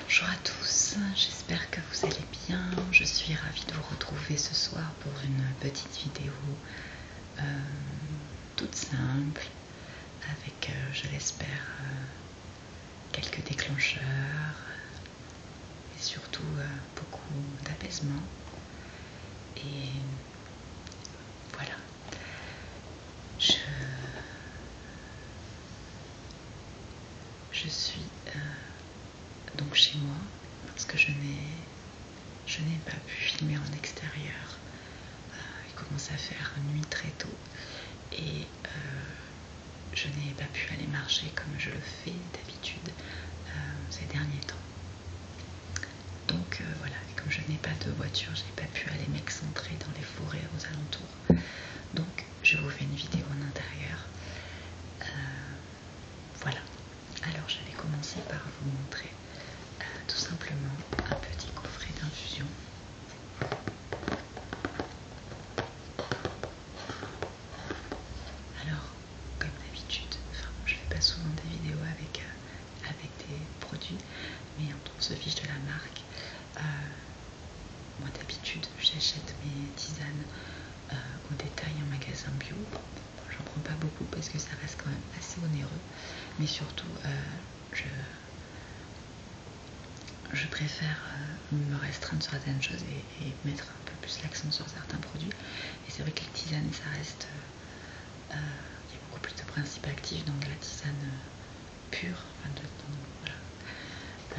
Bonjour à tous, j'espère que vous allez bien. Je suis ravie de vous retrouver ce soir pour une petite vidéo euh, toute simple avec, euh, je l'espère, euh, quelques déclencheurs et surtout beaucoup d'apaisement. Et voilà, je, suis euh, donc chez moi parce que je n'ai pas pu filmer en extérieur. Euh, il commence à faire nuit très tôt et euh, je n'ai pas pu aller marcher comme je le fais d'habitude ces derniers temps. Donc euh, voilà, comme je n'ai pas de voiture, je n'ai pas pu aller m'excentrer dans les forêts aux alentours. Donc je vous fais une vidéo en intérieur. Euh, voilà. Alors je vais commencer par vous montrer euh, tout simplement un petit coffret d'infusion. Alors, comme d'habitude, je ne fais pas souvent des vidéos avec avec des produits, mais on se fiche de la marque. Euh, moi d'habitude, j'achète mes tisanes euh, au détail en magasin bio. J'en prends pas beaucoup parce que ça reste quand même assez onéreux, mais surtout euh, je préfère me restreindre sur certaines choses et, mettre un peu plus l'accent sur certains produits. Et c'est vrai que les tisanes, ça reste euh, il y a beaucoup plus de principes actifs donc la tisane euh, pure. Euh,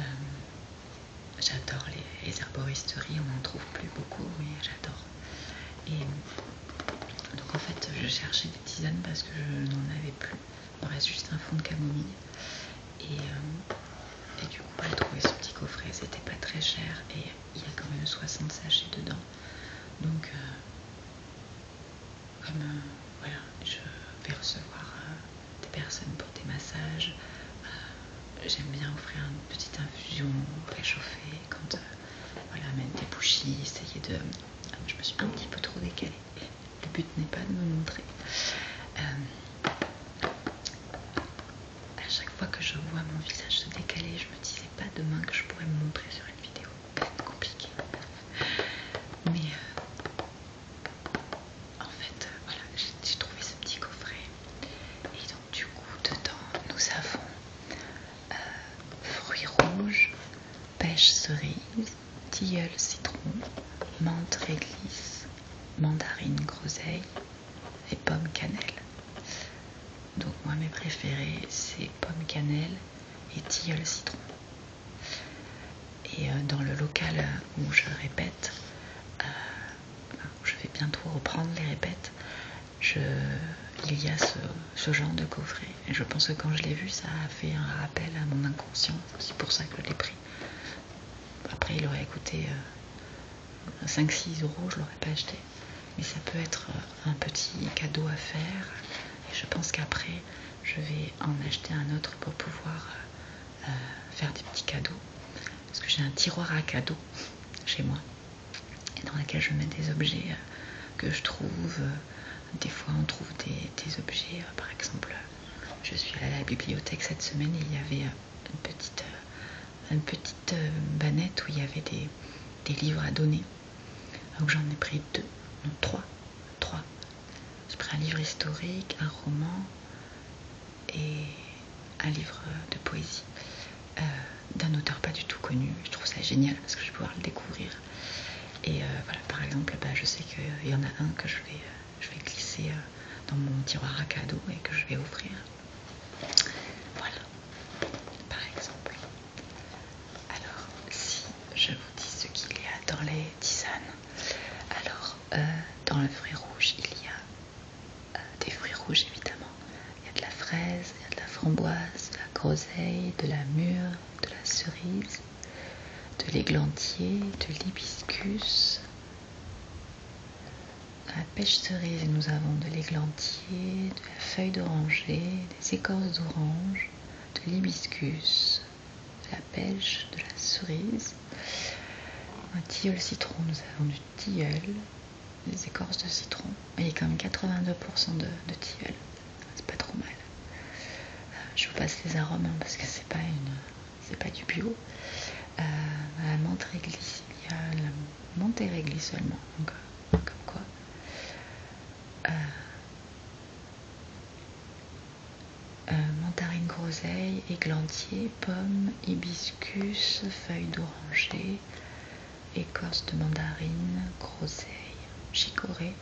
j'adore les, herboristeries, on n'en trouve plus beaucoup, oui, j'adore. Et donc en fait, je cherchais des tisanes parce que je n'en avais plus. Il me reste juste un fond de camomille. Et, du coup, j'ai trouvé ce petit coffret, c'était pas très cher et il y a quand même 60 sachets dedans. Donc, comme euh, voilà, je vais recevoir euh, des personnes pour des massages. Euh, j'aime bien offrir une petite infusion réchauffée, quand voilà, même des bougies, essayer de. Je me suis un petit peu trop décalée. Le but n'est pas de me montrer. à chaque fois que je vois mon visage se décaler, je me disais pas demain que je pourrais me montrer sur une vidéo compliqué. Mais euh, en fait, euh, voilà, j'ai trouvé ce petit coffret. Et donc du coup, dedans, nous avons euh, fruits rouges, pêche cerise, tilleul citron, menthe glisse mandarine groseille et pomme cannelle. Donc moi mes préférés c'est pomme cannelle et le citron. Et euh, dans le local euh, où je répète, euh, je vais bientôt reprendre les répètes, il y a ce, genre de coffret. Et je pense que quand je l'ai vu, ça a fait un rappel à mon inconscient. C'est pour ça que je l'ai pris. Après, il aurait coûté 5-6 euros, je l'aurais pas acheté. Mais ça peut être un petit cadeau à faire et je pense qu'après je vais en acheter un autre pour pouvoir euh, faire des petits cadeaux parce que j'ai un tiroir à cadeaux chez moi et dans lequel je mets des objets euh, que je trouve euh, des fois on trouve des, objets par exemple je suis allée à la bibliothèque cette semaine et il y avait une petite une bannette où il y avait des livres à donner donc j'en ai pris deux, non trois, trois. J'ai pris un livre historique, un roman et un livre de poésie euh, d'un auteur pas du tout connu. Je trouve ça génial parce que je vais pouvoir le découvrir. Et euh, voilà, par exemple, bah, je sais qu'il euh, y en a un que je vais, je vais glisser dans mon tiroir à cadeaux et que je vais offrir. Voilà, par exemple. Alors, si je vous dis ce qu'il y a dans les tisanes, alors euh, dans le fruit rouge, il y a euh, des fruits rouges évidemment. Il y a de la fraise, il y a de la framboise, de la groseille, de la mûre, de la cerise, de l'églantier, de l'hibiscus. la pêche cerise, nous avons de l'églantier, de la feuille d'oranger, des écorces d'orange, de l'hibiscus, de la pêche, de la cerise, un tilleul citron, nous avons du tilleul, des écorces de citron. Il y a quand même 82% de, tilleul, c'est pas trop mal. Euh, je vous passe les arômes hein, parce que c'est pas pas du bio. Euh, la menthe réglisse, il y a la menthe seulement, donc euh, comme quoi. Euh, euh, mandarine groseille, églantier, pomme, hibiscus, feuille d'oranger, écorce de mandarine, groseille, chicorée,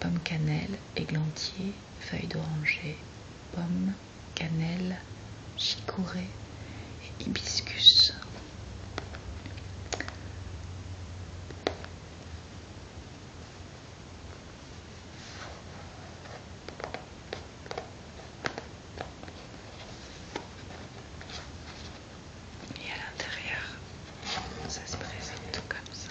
pomme cannelle, églantier, feuille d'oranger, pomme, cannelle, chicorée hibiscus. Et à l'intérieur, ça se présente comme ça.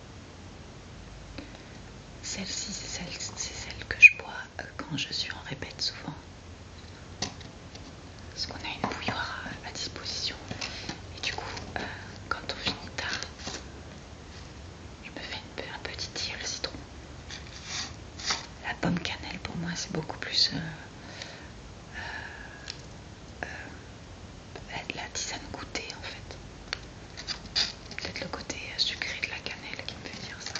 Celle-ci, c'est celle, que je bois quand je suis en répète souvent. Parce qu'on a une bouilloire à, disposition. Et du coup, euh, quand on finit tard, je me fais un petit tir le citron. La pomme cannelle, pour moi, c'est beaucoup plus... de euh, euh, la tisane goûtée en fait. Peut-être le côté euh, sucré de la cannelle qui me fait dire ça.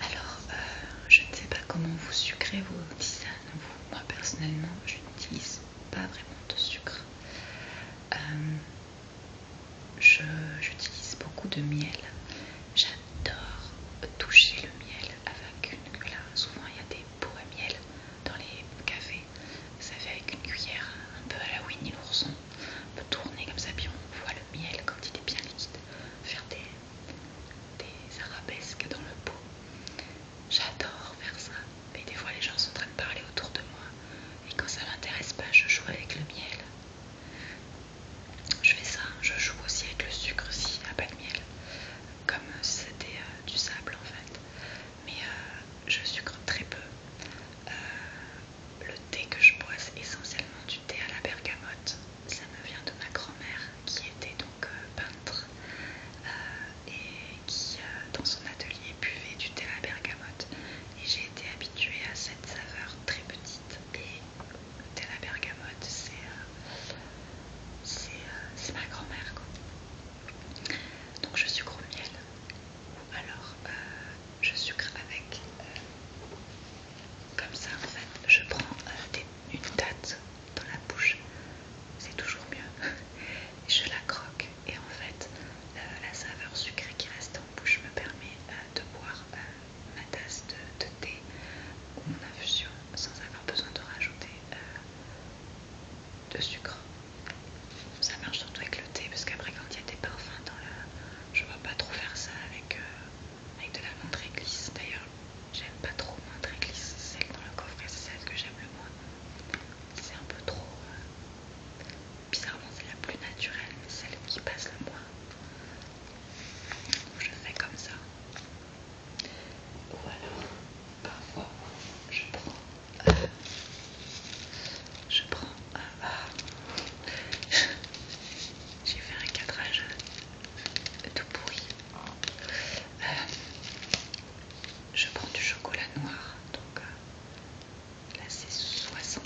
Alors, euh, je ne sais pas comment vous sucrez vos tisanes, moi personnellement, je n'utilise pas vraiment de sucre. Euh, j'utilise beaucoup de miel. J'adore toucher le miel avec une cuillère. Souvent, il y a des pots à miel dans les cafés. Ça fait avec une cuillère un peu à la Winnie l'ourson. On peut tourner comme ça, puis on voit le miel quand il est bien liquide. Faire des des arabesques dans le pot. J'adore faire ça, mais des fois les gens sont en train de parler autour de moi et quand ça m'intéresse pas, je joue avec le miel. Je fais ça, je joue aussi avec le sucre si à pas de miel, comme c'était euh, du sable en fait. Mais euh, je sucre très peu. Euh, le thé que je bois, c'est essentiellement du thé à la bergamote ça me vient de ma grand-mère qui était donc euh, peintre euh, et qui euh, dans son atelier buvait du thé à bergamote et j'ai été habituée à cette saveur très petite et le thé à bergamote c'est ma grand-mère donc je sucre au miel alors je sucre avec comme ça en fait je prends une date dans la bouche, c'est toujours mieux. Je la croque et en fait, euh, la saveur sucrée qui reste en bouche me permet euh, de boire euh, ma tasse de, thé ou mon infusion sans avoir besoin de rajouter de sucre. Ça marche surtout avec le thé parce qu'après quand il y a des parfums dans la... Je ne vais pas trop faire ça avec avec ah, de la montre glisse. D'ailleurs, j'aime pas trop montre glisse. Celle dans le coffret, c'est celle que j'aime le moins. C'est un peu trop. Euh, bizarrement, c'est la plus naturelle, mais celle qui passe le moins. Je fais comme ça. Ou alors, parfois, je prends. Euh, je prends. Euh, ah. J'ai fait un cadrage tout pourri euh, je prends du chocolat noir, donc euh, là c'est 72%.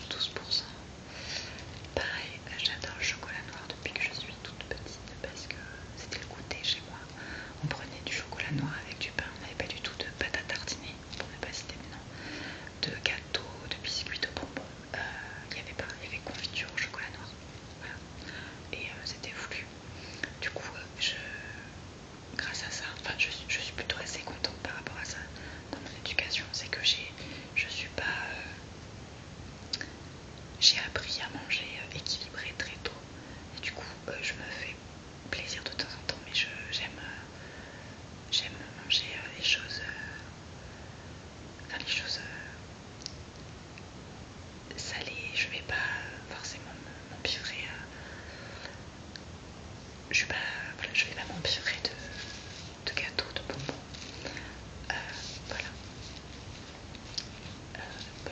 Pareil, j'adore le chocolat noir depuis que je suis toute petite parce que c'était le goûter chez moi. On prenait du chocolat noir avec du pain, on n'avait pas du tout de pâte à tartiner, pour ne pas citer maintenant, de gâteau, de biscuits, de bonbons. Euh, il avait pas, il y avait confiture au chocolat noir. Voilà. Et euh, c'était voulu. Du coup, euh, je, grâce à ça, enfin, je, suis plutôt assez contente par rapport à ça dans mon éducation. C'est que je suis pas. Euh, j'ai appris à manger équilibré très tôt. Et du coup, je me fais plaisir de temps en temps, mais j'aime manger les choses. enfin, les choses salé, je vais pas forcément m'empiffrer Je Je, pas, voilà, je vais pas m'empiffrer de, de gâteaux, de bonbons. Euh, voilà. Euh,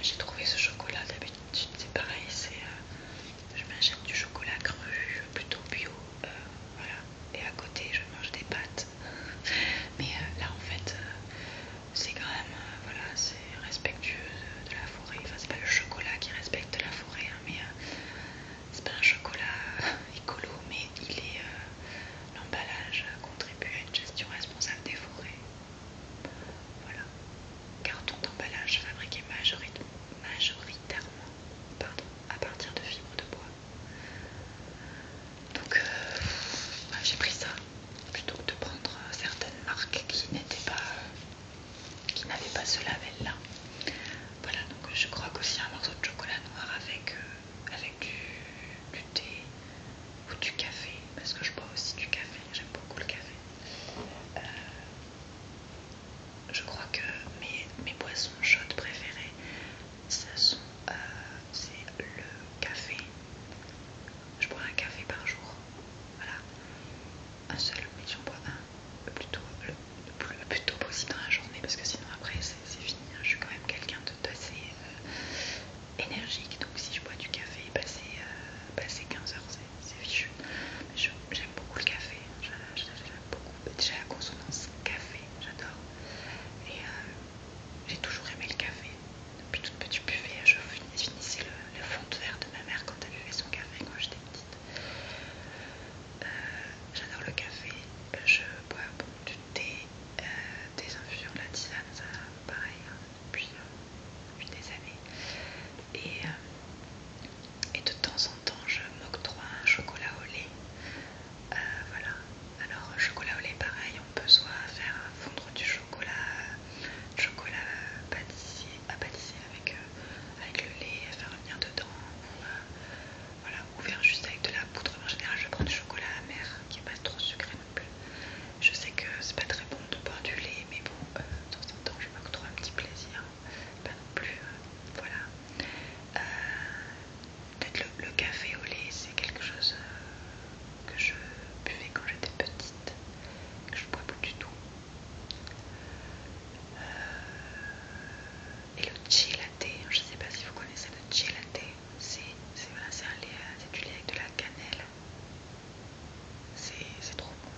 j'ai trouvé ce chocolat d'habitude, c'est pareil, c'est... Euh, je m'achète du chocolat cru, plutôt bio, voilà. Et à côté, je mange des pâtes mais euh, là en fait euh, c'est quand même euh, voilà c'est respectueux de, la forêt enfin c'est pas le chocolat qui respecte la forêt hein, mais c'est pas un chocolat écolo mais il est l'emballage contribue à une gestion responsable des forêts voilà carton d'emballage fabriqué majoritairement pardon, à partir de fibres de bois donc euh, bah, j'ai pris ça plutôt que de prendre euh, certaines marques qui n'étaient pas euh, qui n'avaient pas ce label là. Voilà donc je crois qu'aussi un morceau de chocolat noir avec, avec du, thé ou du café parce que je bois aussi du café, j'aime beaucoup le café. je crois que mes, mes boissons chaudes préférées, ça sont c'est le café. Je bois un café par jour. Voilà. Un seul, mais j'en bois un le plus, tôt, possible dans la journée parce que sinon après c'est fini. Hein. Je suis quand même quelqu'un d'assez assez euh, énergique. Donc si je bois du café, passer bah, euh, bah, 15 heures, c'est fichu. J'aime beaucoup le café. J'aime beaucoup. Déjà la consonance café, j'adore. Et euh, j'ai toujours aimé le café. Depuis toute petite buvée, je finissais le, fond de verre de ma mère quand elle buvait son café quand j'étais petite. Euh, j'adore le café, je bois beaucoup du thé, euh, des infusions, de la tisane, ça pareil, hein, euh, depuis, des années. Et, de temps en temps, je m'octroie un chocolat au lait. Alors chocolat au lait pareil, on peut soit faire fondre du chocolat, chocolat à pâtisser euh, avec, le lait, faire venir dedans, ou, euh, voilà, juste avec de la poudre. En général je prends du chocolat amer qui n'est pas trop sucré non plus. Je sais que c'est pas très bon de boire du lait mais bon dans euh, de temps en temps je un petit plaisir. Hein. Pas non plus, voilà. Peut-être le, café au lait, c'est quelque chose euh, que je buvais quand j'étais petite, que je ne bois plus du tout. Euh, et le à je ne sais pas si vous connaissez le à thé. Euh, c'est du lait avec de la cannelle. C'est trop bon.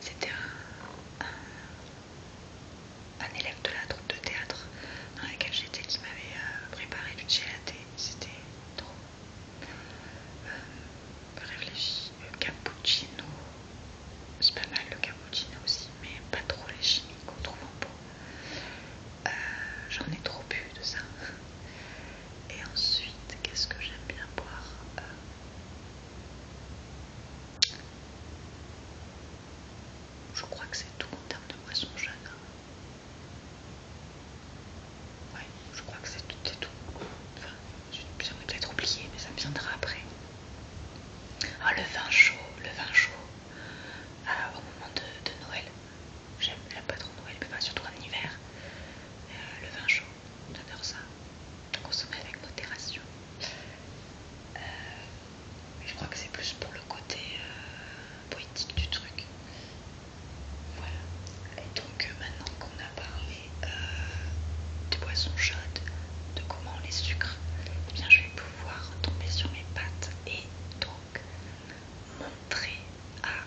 C'était un, un élève de la troupe de théâtre dans laquelle j'étais qui m'avait euh, préparé du gelaté. C'était trop. Euh, réfléchi, le cappuccino. C'est pas mal le cappuccino aussi, mais pas trop les chimiques qu'on trouve en euh, J'en ai trop bu de ça. Et ensuite, qu'est-ce que j'aime bien boire Je crois que c'est tout en termes de boissons jeunes. Hein je crois que c'est tout. tout. Enfin, j'en peut-être oublié, mais ça viendra après. Ah, le vin chaud, le vin chaud ah, au moment de, Noël. J'aime pas trop Noël, mais pas surtout en hiver. Euh, le vin chaud, j'adore ça. Consommer avec modération. Euh, je crois que c'est plus pour le côté euh, poétique du truc. Voilà. Et donc euh, maintenant qu'on a parlé Des euh, de boissons chaudes, de comment les sucre, eh bien je vais pouvoir tomber sur mes pattes et donc montrer à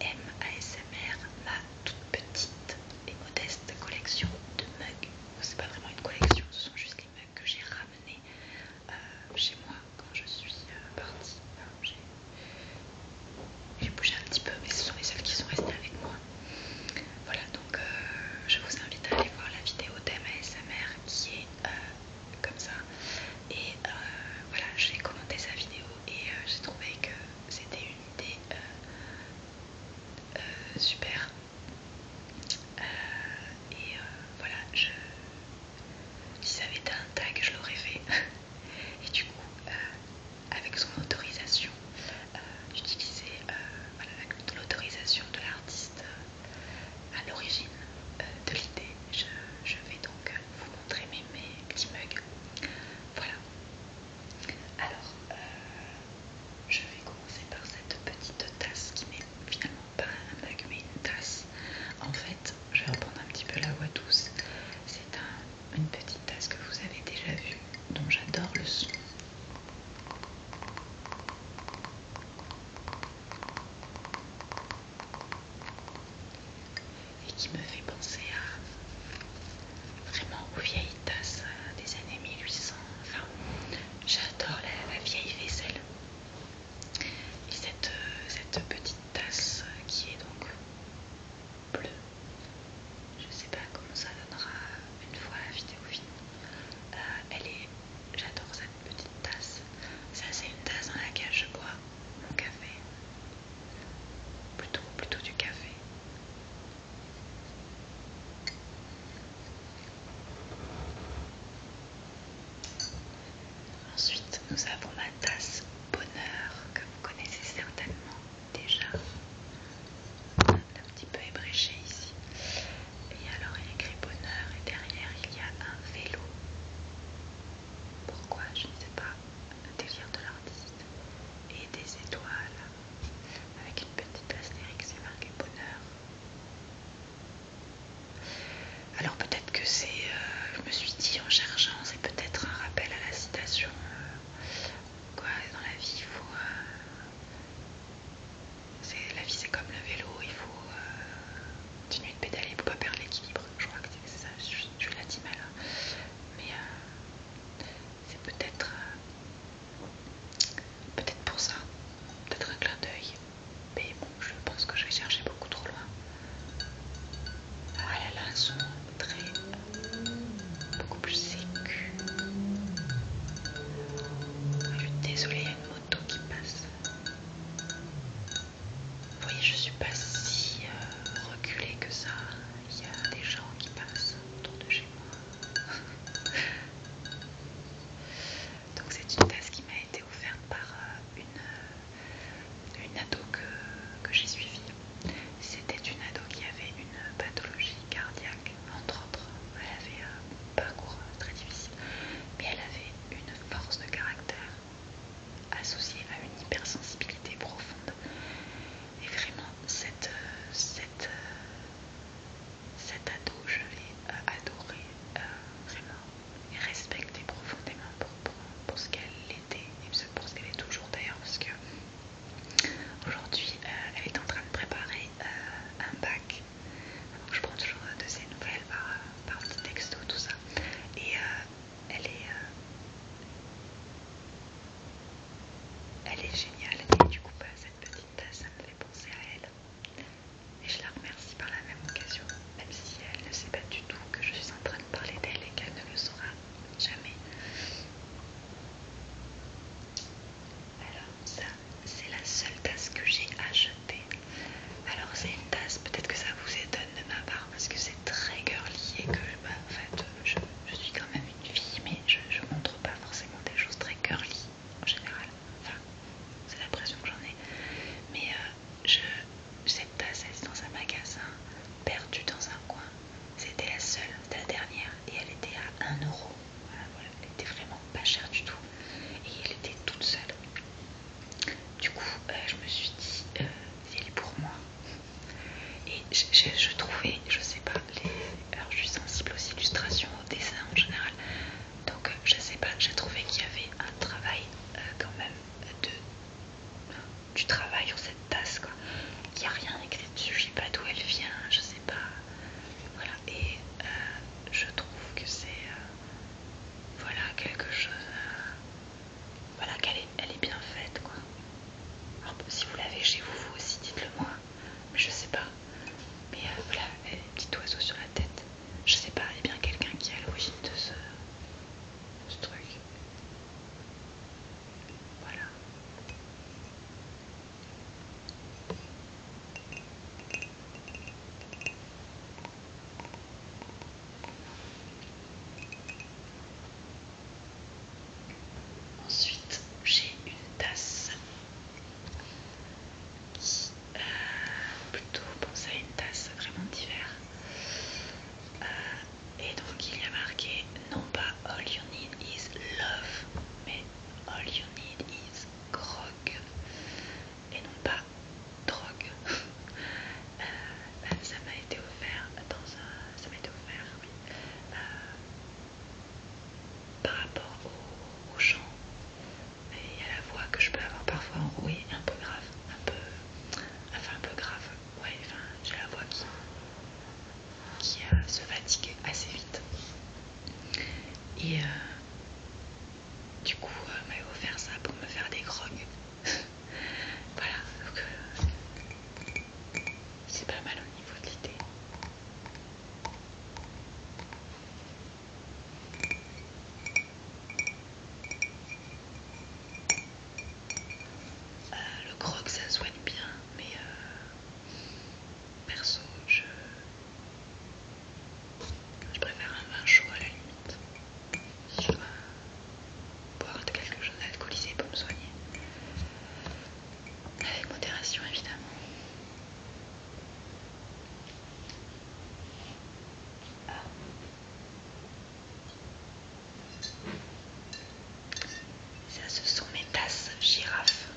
MASMR ma toute petite et modeste collection de mugs. C'est pas vraiment une collection, ce sont juste les mugs que j'ai ramenés euh, chez moi, quand je suis euh, partie, j'ai bougé un petit peu, mais ce sont les seuls qui sont restés avec moi. Voilà, donc euh, je vous invite à aller voir la vidéo mère qui est comme ça. Et voilà, j'ai commenté sa vidéo et j'ai trouvé que c'était une idée super. et voilà, je, si ça avait été un tag, je l'aurais fait. Et du coup, euh, avec son autorisation, d'utiliser euh, j'utilisais euh, l'autorisation de l'artiste à l'origine de l'idée. Je, vais donc vous montrer mes, petits mugs. Voilà. Alors, je vais commencer par cette petite tasse qui m'est finalement pas un mais une tasse. En fait, je vais reprendre un petit peu la voix douce. C'est une petite tasse que vous avez déjà vue, dont j'adore le son. Et qui me fait penser à vraiment aux vieilles tasses des années 1800. Enfin, j'adore la vieille vaisselle. Et cette, petite tasse qui est donc bleue, je sais pas comment ça donnera une fois la vidéo finie. Euh, elle est, j'adore cette petite tasse. Ça c'est une tasse dans laquelle je bois mon café, plutôt du café. Ensuite, nous avons la tasse bonheur que vous connaissez certainement déjà. Un petit peu ébréché ici. Et alors il écrit bonheur et derrière il y a un vélo. Pourquoi Je ne sais pas. le délire de l'artiste. Et des étoiles. Avec une petite lyrique c'est marqué bonheur. Alors peut-être que c'est, euh, je me suis dit en cherchant, c'est peut-être un rappel à la citation. Euh, quoi, dans la vie, il faut. Euh, la vie, c'est comme le vélo, il faut continuer de pédaler pour pas perdre l'équilibre. Je crois que c'est ça, je, l'as dit mal. Hein. Mais c'est peut-être. peut-être pour ça, peut-être un clin d'œil. Mais bon, je pense que je vais chercher beaucoup trop loin. Ah là, elles sont très. beaucoup plus sécu. Ah, je suis désolée, il y a une moto qui passe. Vous voyez, je suis pas si euh, reculée que ça. Il y a des gens qui passent autour de chez moi. Donc c'est une tasse qui m'a été offerte par euh, une, euh, une ado que, j'ai suivie. C'était une ado qui avait une pathologie cardiaque, entre autres. Elle avait euh, un parcours très difficile, mais elle avait une force de caractère associée à une hypersensibilité profonde. Et vraiment, cette, cette, cet ado, je l'ai euh, adoré euh, vraiment et respectée profondément pour, ce qu'elle était et pour ce qu'elle est toujours d'ailleurs parce que aujourd'hui euh, elle est en train de préparer un bac. je prends toujours de ses nouvelles par, par petit texto, tout ça. Et elle est... elle est géniale et du coup bah, cette petite tasse ça me fait penser à elle et je la remercie par la même occasion, même si elle ne sait pas du tout que je suis en train de parler d'elle et qu'elle ne le saura jamais. Alors ça, c'est la seule tasse que j'ai achetée. Alors c'est une tasse, peut-être que ça vous étonne de ma part parce que c'est très girly et que bah, fait, je, suis quand même une fille mais je, ne montre pas forcément des choses très girly en général. Enfin, c'est l'impression que j'en ai. Mais euh, je cette tasse dans un magasin, perdue dans un coin. C'était la seule, c'était la dernière, et elle était à 1 euro. Voilà, elle était vraiment pas chère du tout. Et elle était toute seule. Du coup, euh, je me suis dit, c'est euh, pour moi. Et je, trouvais, je sais pas, les... alors je suis sensible aux illustrations, au dessin en général, donc euh, je sais pas, j'ai trouvé qu'il y avait un travail euh, quand même de du travail sur cette tasse quoi. Il n'y a rien écrit dessus, je sais pas d'où elle vient, je sais pas. Voilà, et euh, je trouve que c'est voilà quelque chose. voilà qu'elle est, elle est bien faite quoi. Alors, si vous l'avez chez vous, vous aussi dites-le moi. Mais je sais pas. Mais voilà, elle a sur la tête je sais pas, a bien quelqu'un qui a à l'origine de ce truc. Voilà. Ensuite, j'ai une tasse euh, plutôt penser à une tasse vraiment d'hiver. Euh, et donc il y a marqué non pas all you need is love, mais all you need is grog. Et non pas drogue. Euh, ça m'a été offert ça m'a été offert, par rapport au, au chant, il y a la voix que je peux avoir parfois enrouée, un peu grave, un peu. Enfin, un peu grave, ouais, enfin, j'ai la voix qui, qui euh, se fatigue assez vite. Et euh, du coup, euh, m'a m'avait offert ça pour me faire des grogues. voilà, donc c'est pas mal au niveau de l'idée. Euh, le croc ça soigne bien, mais euh, perso je... préfère un vin chaud à la limite. je dois boire quelque chose d'alcoolisé pour me soigner. Avec modération évidemment. Ça, ce sont mes tasses girafe.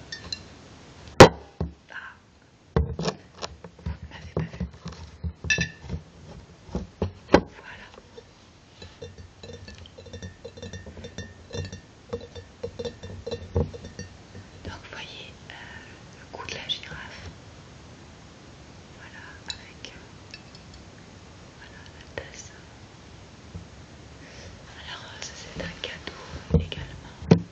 Ah, vous m'avez Voilà. Donc vous voyez euh, le coup de la girafe. Voilà, avec euh, voilà, la tasse. Alors euh, ça c'est un cadeau également.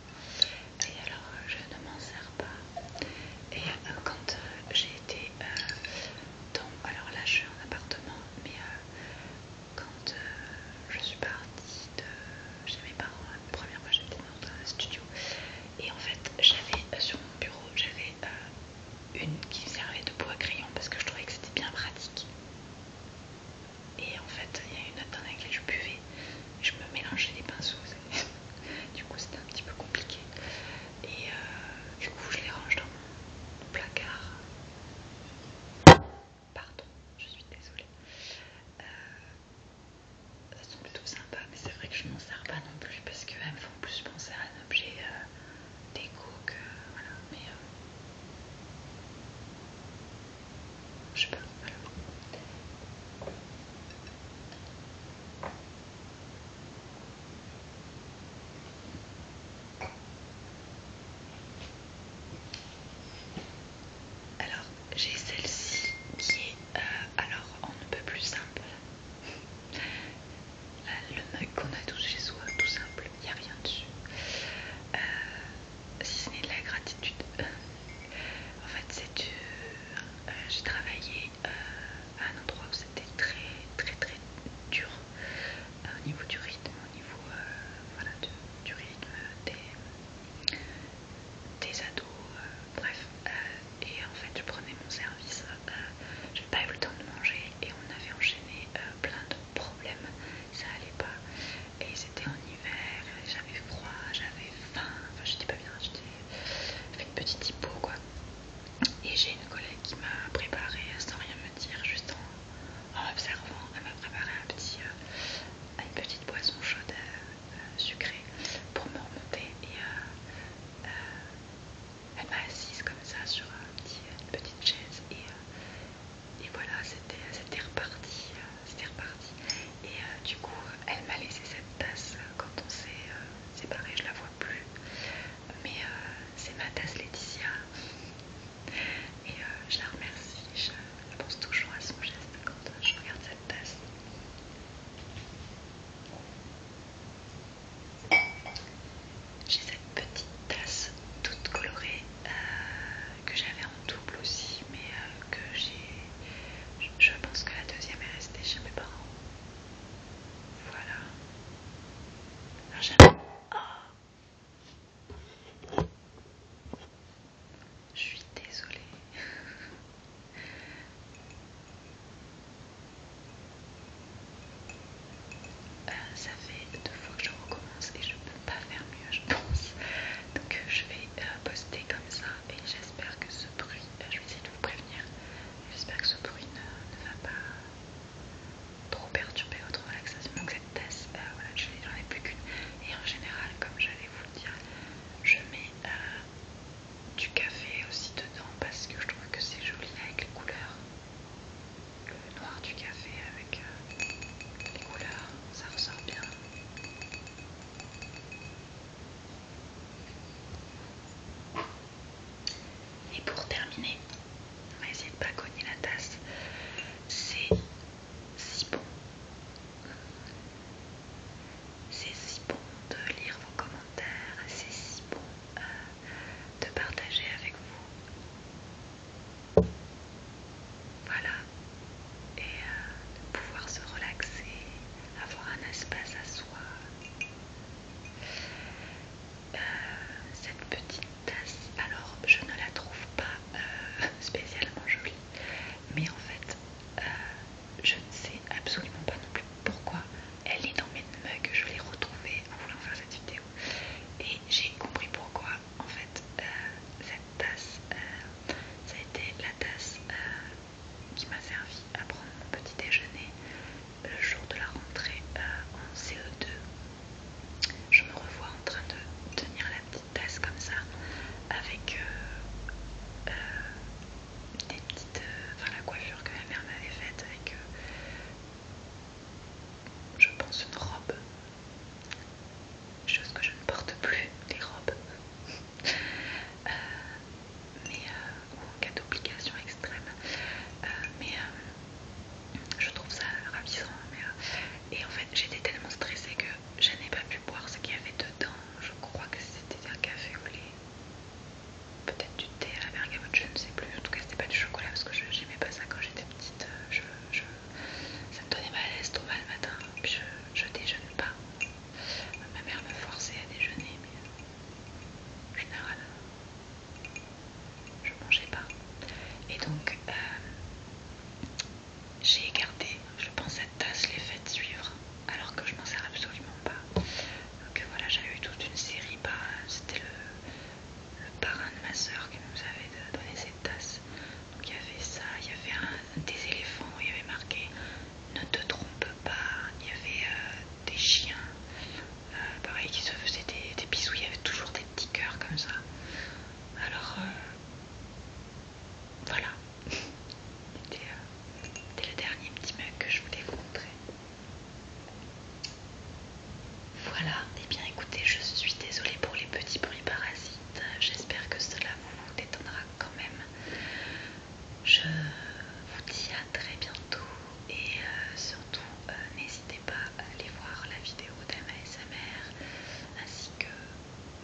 Et alors je ne m'en sers pas. Et quand j'ai été dans... Alors là je suis en appartement, mais quand je suis partie de chez mes parents la première fois j'étais dans un studio et en fait j'avais euh, sur mon bureau j'avais euh, une qui servait de à crayon parce que je trouvais que c'était bien pratique et en fait il y a une note dans laquelle je buvais je me mélangeais les pinceaux du coup c'était un petit peu compliqué et euh, du coup je les range dans mon placard Pardon, je suis désolée elles sont plutôt sympas, mais c'est vrai que je m'en sers pas non plus parce qu'elles me font plus penser à un objet euh, déco que. Voilà, mais. Euh, je sais pas, alors. Alors, j'ai celle-ci qui est euh, alors on ne peut plus simple. Euh, le mug qu'on a tous chez soi, tout simple, il n'y a rien dessus. Euh, si ce n'est de la gratitude. en fait, c'est du. J'ai travaillé à un endroit où c'était très, très, très dur au niveau du rythme, au niveau du, rythme des, des ados, bref, euh, et en fait je prenais mon service, euh, pas eu le temps de manger et on avait enchaîné euh, plein de problèmes, ça allait pas, et c'était en hiver, j'avais froid, j'avais faim, enfin j'étais pas bien, j'étais fait une petite hypo quoi. Et j'ai une collègue qui m'a préparé euh, sans rien me dire, juste en, observant, elle m'a préparé un petit, une petite boisson chaude euh, sucré pour me remonter et euh, euh, elle m'a assise comme ça sur une petite chaise et, et voilà c'était reparti c'était reparti et du coup elle m'a laissé cette tasse quand on s'est séparé, je la vois plus mais c'est ma tasse Laetitia et je la remercie je pense toujours à son geste quand euh, je regarde cette tasse. J'ai cette petite tasse toute colorée euh, que j'avais en double aussi, mais euh, que j'ai. Je pense que la deuxième est restée chez mes parents. Voilà. Alors je suis désolée. Euh, ça fait deux fois que je recommence et je peux pas faire mieux, je pense. Donc euh, je vais euh, poster comme ça et j'espère que ce bruit, je vais essayer de vous prévenir, j'espère que ce bruit ne, va pas trop perturber votre relaxation. Donc cette tasse, j'en ai plus qu'une. Et en général, comme j'allais vous le dire, je mets euh, du café aussi dedans parce que je trouve que c'est joli avec les couleurs. Le noir du café avec euh, les couleurs, ça ressort bien. Et pour terminer, on va essayer pas cogner la tasse. C'est si bon. C'est si bon de lire vos commentaires, c'est si bon euh, de partager avec vous. Voilà. Et euh, de pouvoir se relaxer, avoir un espace à soi. Euh, cette petite tasse, alors je ne la trouve pas spécialement jolie, mais en fait, je ne sais absolument pas non plus pourquoi elle est dans mes mugs, je l'ai retrouvée en voulant faire cette vidéo et j'ai compris pourquoi en fait euh, cette tasse euh, ça a été la tasse euh, qui m'a servi à prendre mon petit déjeuner le jour de la rentrée en CE2 je me revois en train de tenir la comme ça avec euh, euh, des petites euh, enfin la coiffure que ma mère m'avait faite avec je pense une robe chose que je ne porte plus les robes mais ou en cas d'obligation extrême mais je trouve ça ravissant et en fait j'étais tellement stressée que je n'ai pas pu boire ce qu'il y avait dedans. Je crois que c'était un café au lait. Peut-être du thé à la bergamote, je ne sais plus. En tout cas, c'était pas du chocolat parce que je n'aimais pas ça quand j'étais petite. ça me donnait mal à l'estomac le matin. je, je déjeune pas. Ma mère me forçait à déjeuner, mais en général, je mangeais pas. Et donc, euh, j'ai écarté, je pense, cette tasse les fêtes suivre, alors que je m'en sers absolument pas. Donc euh, voilà, j'avais eu toute une série, bah, c'était le, parrain de ma soeur qui nous avait donné cette tasse. Donc il y avait ça, il y avait des éléphants, il y avait marqué ne te trompe pas, il y avait euh, des chiens, euh, pareil, qui se faisaient des, bisous, il y avait toujours des petits cœurs comme ça. Alors, voilà, euh, c'était le dernier petit mug que je voulais vous montrer. Voilà, et eh bien écoutez, je suis désolée pour les petits bruits parasites. J'espère que cela vous détendra quand même. Je vous dis à très bientôt et euh, surtout euh, n'hésitez pas à aller voir la vidéo et sa mère ainsi que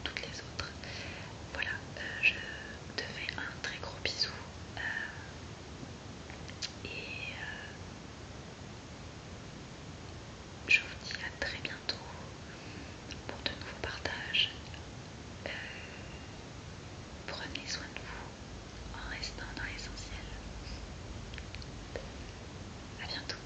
toutes les autres. Voilà, euh, je te fais un très gros bisou euh, et euh, je vous dis à très bientôt pour de nouveaux partages. prenez soin de vous en restant dans l'essentiel. À bientôt.